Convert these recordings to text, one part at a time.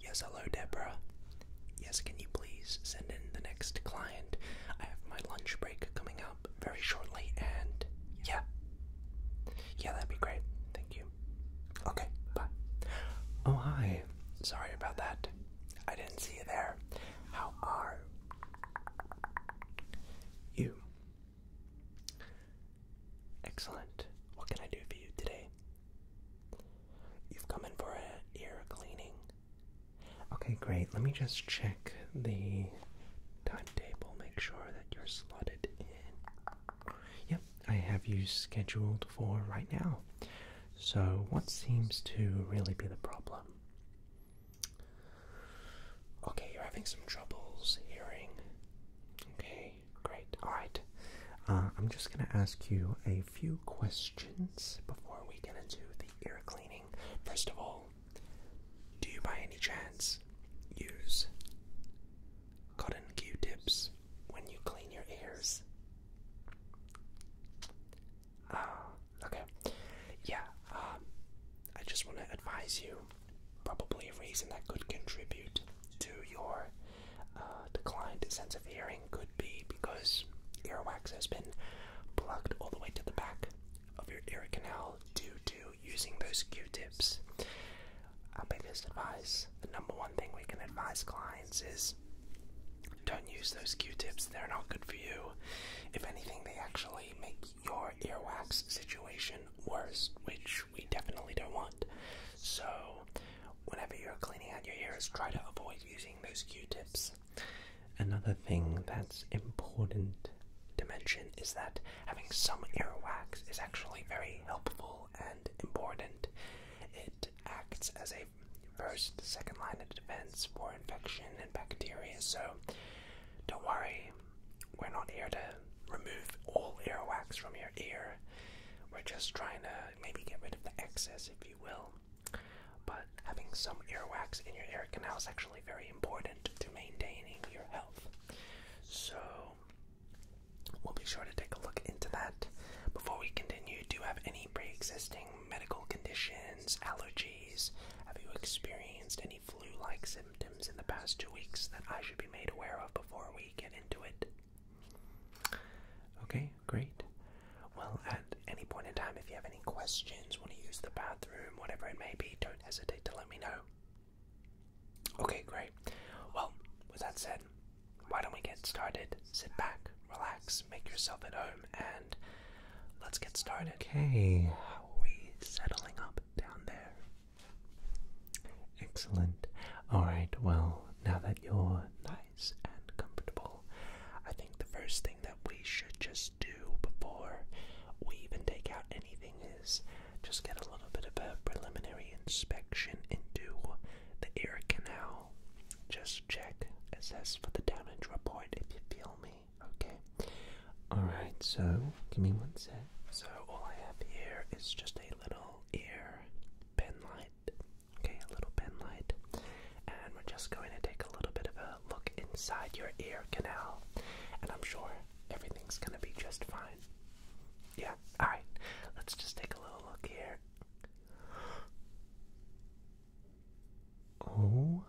Yes, hello, Deborah. Yes, can you please send in the next client? I have my lunch break coming up very shortly, and yeah. Yeah, that'd be great. Thank you. Okay, bye. Oh, hi. Sorry about that. I didn't see you there. How are you? Excellent. What can I do for you today? You've come in for an ear cleaning. Okay, great. Let me just check the timetable, make sure that you're slotted in. Yep, I have you scheduled for right now. So, what seems to really be the problem? Okay, you're having some troubles hearing. Okay, great. All right. Uh, I'm just going to ask you a few questions before we get into the ear cleaning. First of all, do you by any chance use cotton Q-tips when you clean your ears? Ah, okay. Yeah, um, I just want to advise you probably a reason that could contribute to your uh, declined sense of hearing could be because earwax has been plugged all the way to the back of your ear canal due to using those Q-tips. Our biggest advice, the number one thing we can advise clients is don't use those Q-tips. They're not good for you. If anything, they actually make your earwax situation worse, which we definitely don't want. So, whenever you're cleaning out your ears, try to avoid using those Q-tips. Another thing that's important to mention is that having some earwax is actually very helpful and important. It acts as a first, second line of defense for infection and bacteria, so don't worry, we're not here to remove all earwax from your ear. We're just trying to maybe get rid of the excess, if you will. But having some earwax in your ear canal is actually very important to maintaining your health. So we'll be sure to take a look into that. Before we continue, do you have any pre existing medical conditions, allergies? Have you experienced any flu like symptoms in the past two weeks that I should be made aware of before we? get into it. Okay, great. Well, at any point in time, if you have any questions, want to use the bathroom, whatever it may be, don't hesitate to let me know. Okay, great. Well, with that said, why don't we get started? Sit back, relax, make yourself at home, and let's get started. Okay, how are we settling up down there? Excellent. Alright, well, now that you're nice and comfortable, I think the first thing that we should just do before we even take out anything is just get a little bit of a preliminary inspection into the ear canal. Just check, assess for the damage report if you feel me, okay? Alright, so give me one sec. So all I have here is just a little ear pen light. Okay, a little pen light. And we're just going to take a little bit of a look inside your ear canal. And I'm sure everything's going to be just fine. Yeah, alright. Let's just take a little look here. Oh.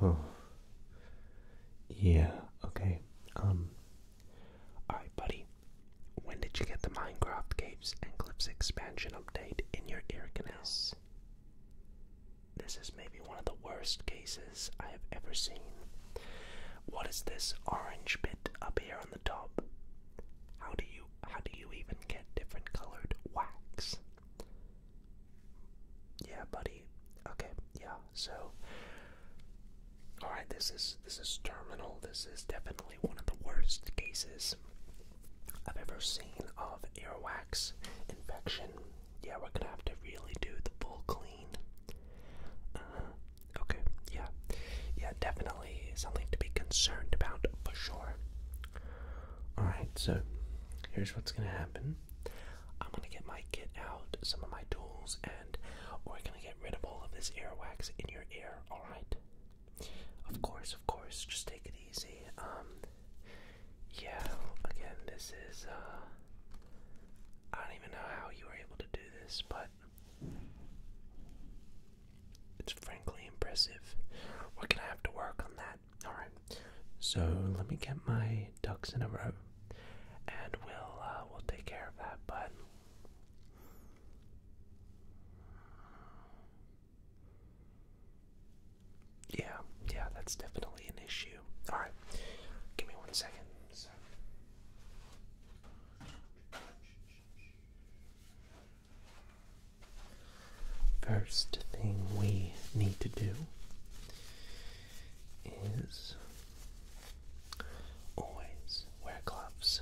Oh. Yeah, okay. Um Alright buddy. When did you get the Minecraft Caves and Clips expansion update in your ear canals? This is maybe one of the worst cases I have ever seen. What is this orange bit up here on the top? How do you how do you even get different colored wax? Yeah, buddy. Okay, yeah. So, all right. This is this is terminal. This is definitely one of the worst cases I've ever seen of earwax infection. Yeah, we're gonna have to really do the full clean. Uh-huh. Okay. Yeah. Yeah, definitely something to be concerned about for sure. All right. So, here's what's gonna happen. I'm gonna get my kit out, some of my tools, and we're gonna get rid of all of this wax in your ear, alright? Of course, of course, just take it easy. Um, yeah, again, this is, uh, I don't even know how you were able to do this, but it's frankly impressive. We're gonna have to work on that Alright, so let me get my ducks in a row and we'll, uh, we'll take care of that, but. Yeah, yeah, that's definitely an issue. Alright, give me one second first thing we need to do is always wear gloves,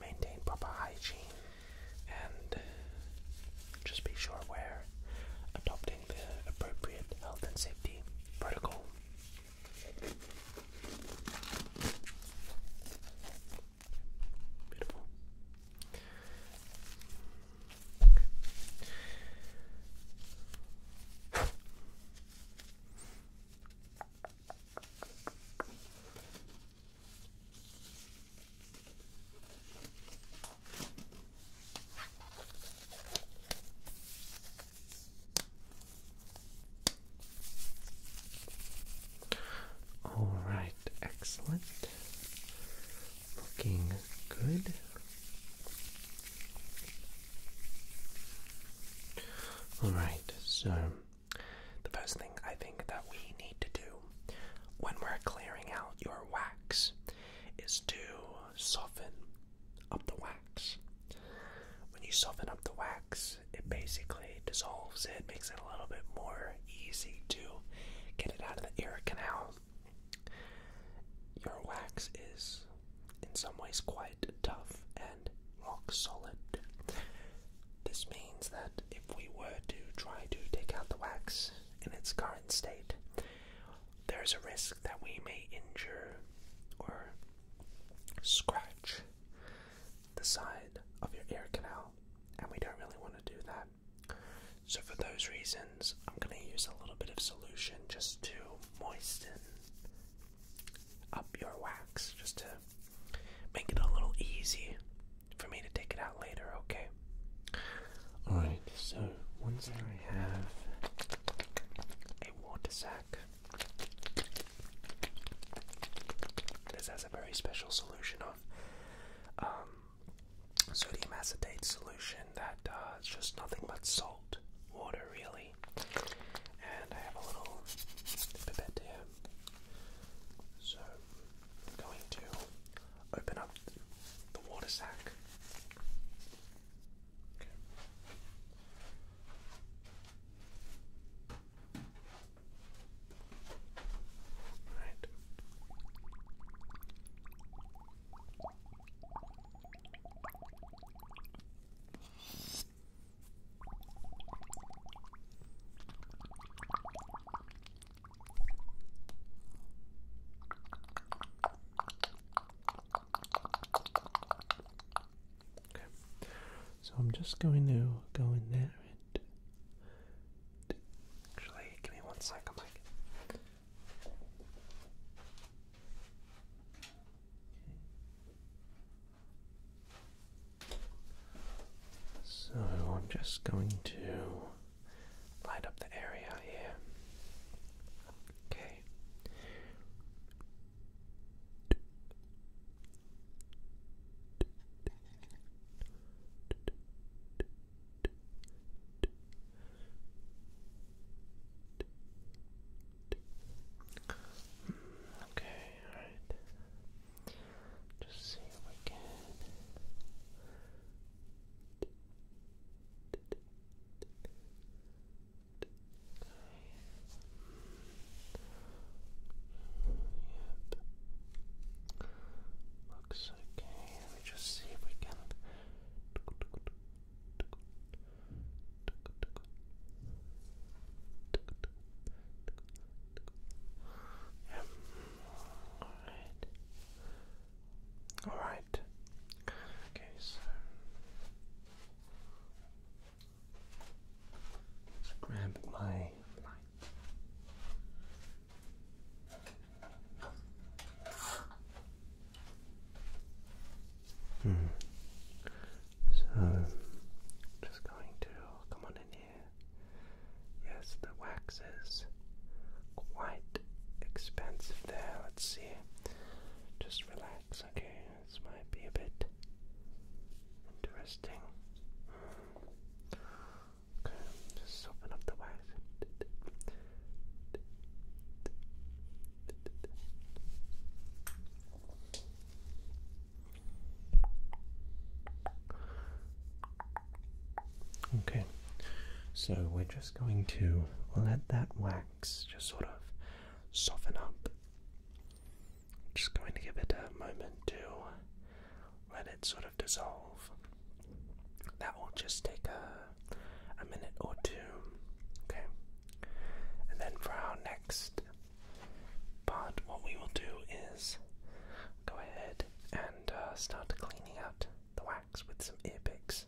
maintain proper hygiene, and just be sure we're adopting the appropriate health and safety protocol. Beautiful. All right, excellent. Looking good. Alright, so the first thing I think that we need to do when we're clearing out your wax is to soften up the wax. When you soften up the wax, it basically dissolves it, makes it a little bit more easy to get it out of the ear canal. Your wax is, in some ways, quite tough and rock solid. This means that if we were to try to take out the wax in its current state, there is a risk that we may injure or scratch the side of your ear canal, and we don't really want to do that. So for those reasons, I'm going to use a little bit of solution just to moisten up your wax, just to make it a little easy for me to take it out later, okay? Alright, so once I have a water sack, this has a very special solution on sodium acetate solution that it's just nothing but salt, water really. And I have a little pipette here. So I'm going to open up the water sac. So I'm just going to go in there and Actually, give me one second, Mike. So I'm just going to light up the area here. Okay. Okay, alright. Just see if we can. Okay. Yep. Looks okay. Let me just see if we can. Alright. Alright. Okay, so let's grab my light. Hmm. So, just going to come on in here. Yes, the wax is quite expensive there. Let's see. Just relax, okay? This might be a bit interesting. Hmm. Okay, soften up the wax. Okay, so we're just going to let that wax just sort of soften up. Just going to give it a moment to let it sort of dissolve. That will just take a, minute or two. Okay. And then for our next part, what we will do is go ahead and uh, start cleaning out the wax with some ear picks.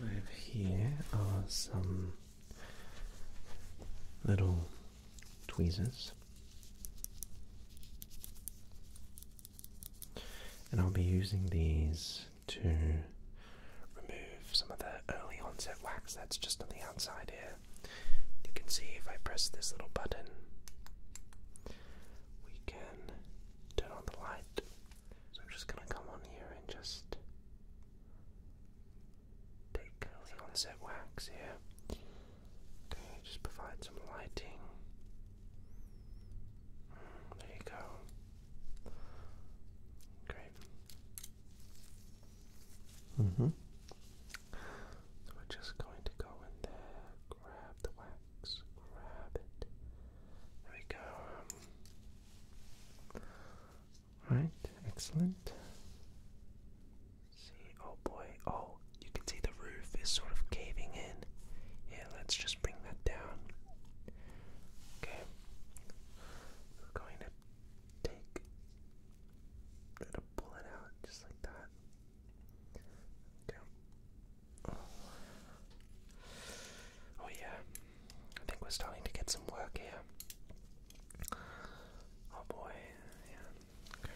Over here are some little tweezers, and I'll be using these to remove some of the early onset wax that's just on the outside here. You can see if I press this little button, we can turn on the light. So I'm just gonna come on here and just take the onset wax here. just provide some lighting. Mm, there you go. Great. Mm-hmm. we're just going to go in there, Grab the wax. Grab it. There we go. Right. Excellent. See, oh boy. Oh, you can see the roof is sort of caving in. Yeah, let's just bring that down. Okay. We're going to take. gonna pull it out just like that. Okay. Oh, yeah. I think we're starting to get some work here. Oh, boy. Yeah. Okay.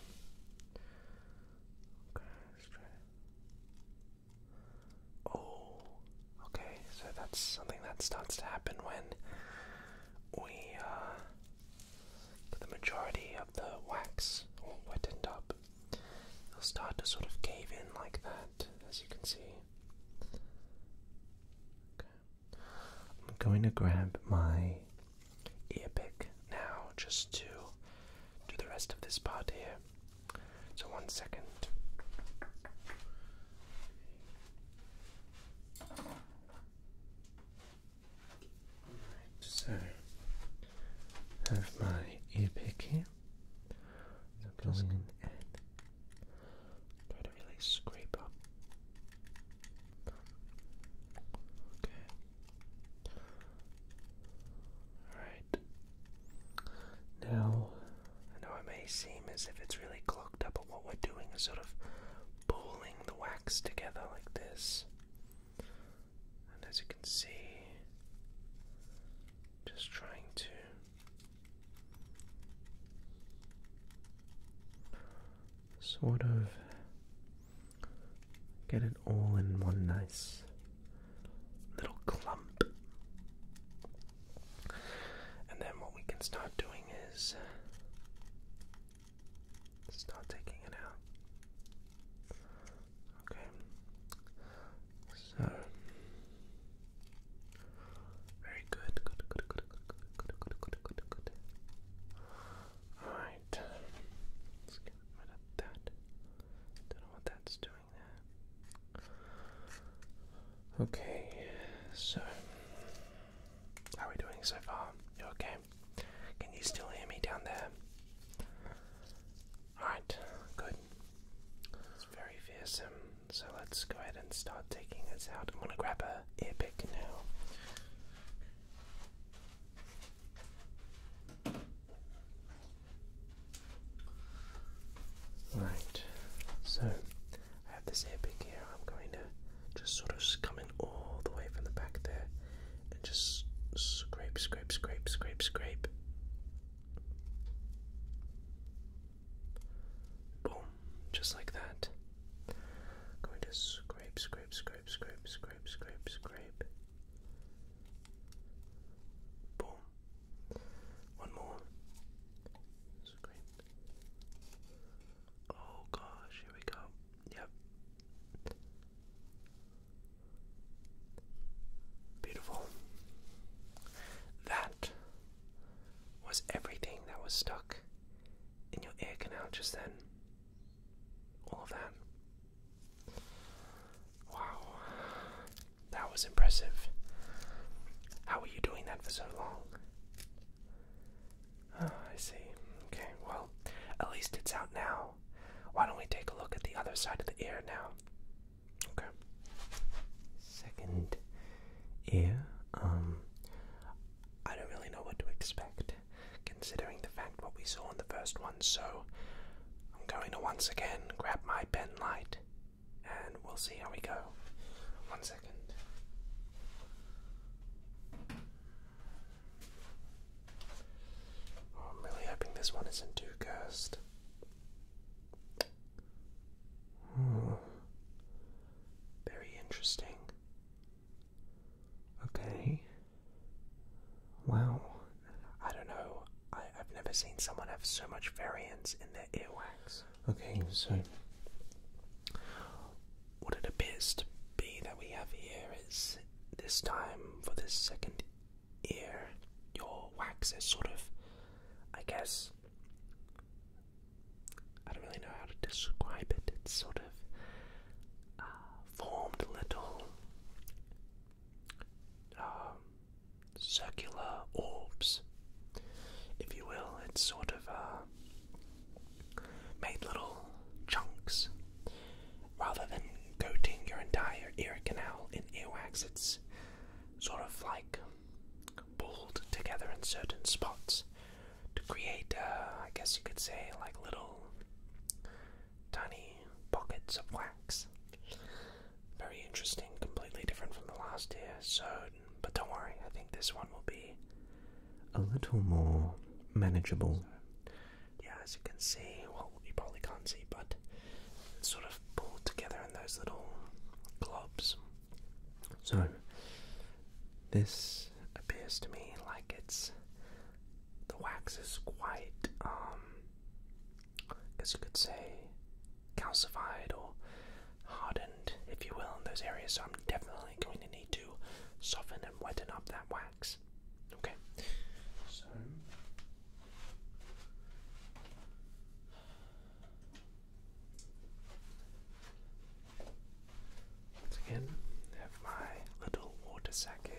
let's try Oh, okay. So that's something that starts to happen when we uh, the majority of the wax all wetted up they will start to sort of cave in like that, as you can see. Okay. I'm going to grab my earpick now just to do the rest of this part here. So, one second so I have my ear here. I'm going in try to really scrape up. Okay. Alright. Now, I know it may seem as if it's really clogged up, but what we're doing is sort of pulling the wax together like this. And as you can see, just trying to sort of get it all in one nice little clump. And then what we can start doing is Start taking it out. Okay. So very good. Good. Good. Good. Good. Good. Good. Good. Good. Good. good. All right. Let's get rid of that. Don't know what that's doing there. Okay. So, how are we doing so far? You okay? Can you still hear me down there? Alright, good. It's very fearsome, so let's go ahead and start taking this out. I'm gonna grab a ear now. Right, so I have this ear here. I'm going to just sort of come in all the way from the back there and just scrape, scrape, scrape, scrape, scrape. Boom, just like that. going to scrape, scrape, scrape, scrape, scrape, scrape, scrape. Boom. One more. Scrape. Oh gosh, here we go. Yep. Beautiful. That was everything that was stuck in your ear canal just then. All of that. Wow. That was impressive. How were you doing that for so long? Ah, I see. Okay, well, at least it's out now. Why don't we take a look at the other side of the ear now? Okay. Second ear. Um, I don't really know what to expect, considering the fact what we saw in the first one. So, I'm going to once again grab my pen light, and we'll see how we go. One second. Oh, I'm really hoping this one isn't too cursed. Hmm. Very interesting. Okay. Wow. I don't know. I've never seen someone have so much variance in their earwax. Okay, so what it appears to be that we have here is this time for this second ear, your wax is sort of, I guess, I don't really know how to describe it. It's sort of uh, formed little um, circular orbs, if you will. It's sort of uh, made little chunks. Rather than coating your entire ear canal in earwax, it's sort of like pulled together in certain spots to create, uh, I guess you could say, like little tiny pockets of wax. Very interesting, completely different from the last ear, so, but don't worry, I think this one will be a little more manageable. yeah, as you can see, well, you probably can't see, but it's sort of pulled together in those little globs. So, this appears to me like it's the wax is quite, um, I you could say, calcified or hardened, if you will, in those areas. So, I'm definitely going to need to soften and weten up that wax. Okay, once again, have my little water sack here.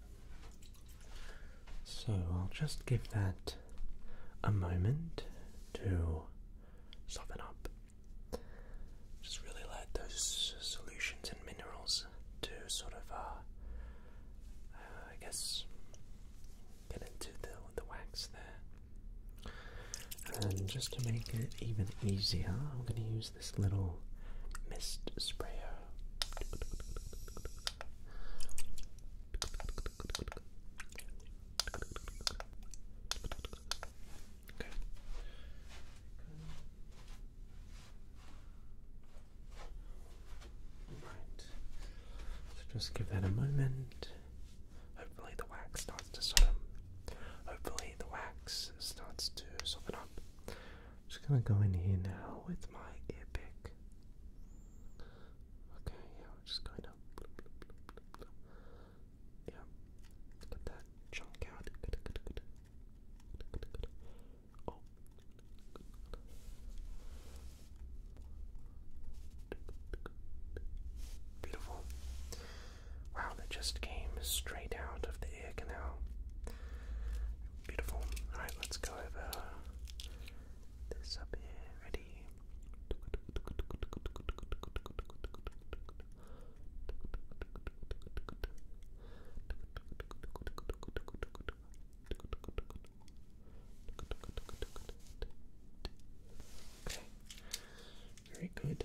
So I'll just give that a moment to soften up. Just really let those solutions and minerals to sort of, uh, uh I guess, get into the, the wax there. And just to make it even easier, I'm going to use this little mist sprayer. So just give that a moment. Hopefully the wax starts to soften. Hopefully the wax starts to soften up just gonna go in here now with my epic. Okay, yeah, we're just going up. Yeah, let that chunk out. Oh. Beautiful. Wow, that just came straight out of the ear canal. Beautiful. Alright, let's go over this up here. Ready? Okay. Very good.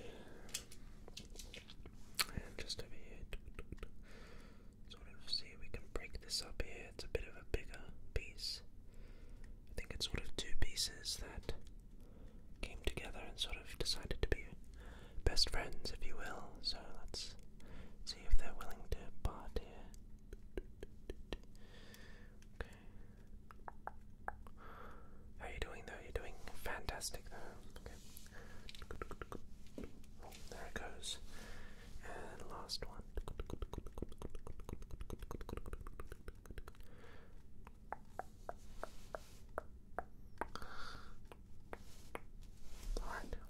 And just over here. So what I see, we can break this up here. It's a bit of a bigger piece. I think it's sort of two pieces that came together and sort of decided to be best friends, if you will. So let's see if they're willing to part here. How you doing though? You're doing fantastic there it goes last one.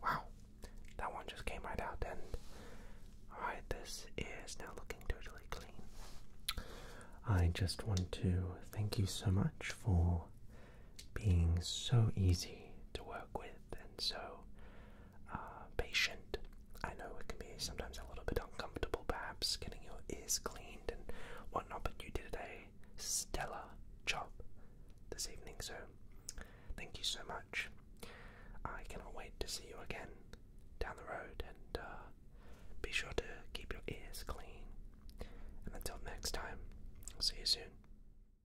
wow. That one just came right out and alright, this is now looking totally clean. I just want to thank you so much for being so easy to work with and so uh, patient. I know it can be sometimes a little bit uncomfortable, perhaps getting your ears cleaned and whatnot, but you did a stellar job this evening, so thank you so much. I cannot wait to see you again down the road, and uh, be sure to keep your ears clean. And until next time, I'll see you soon.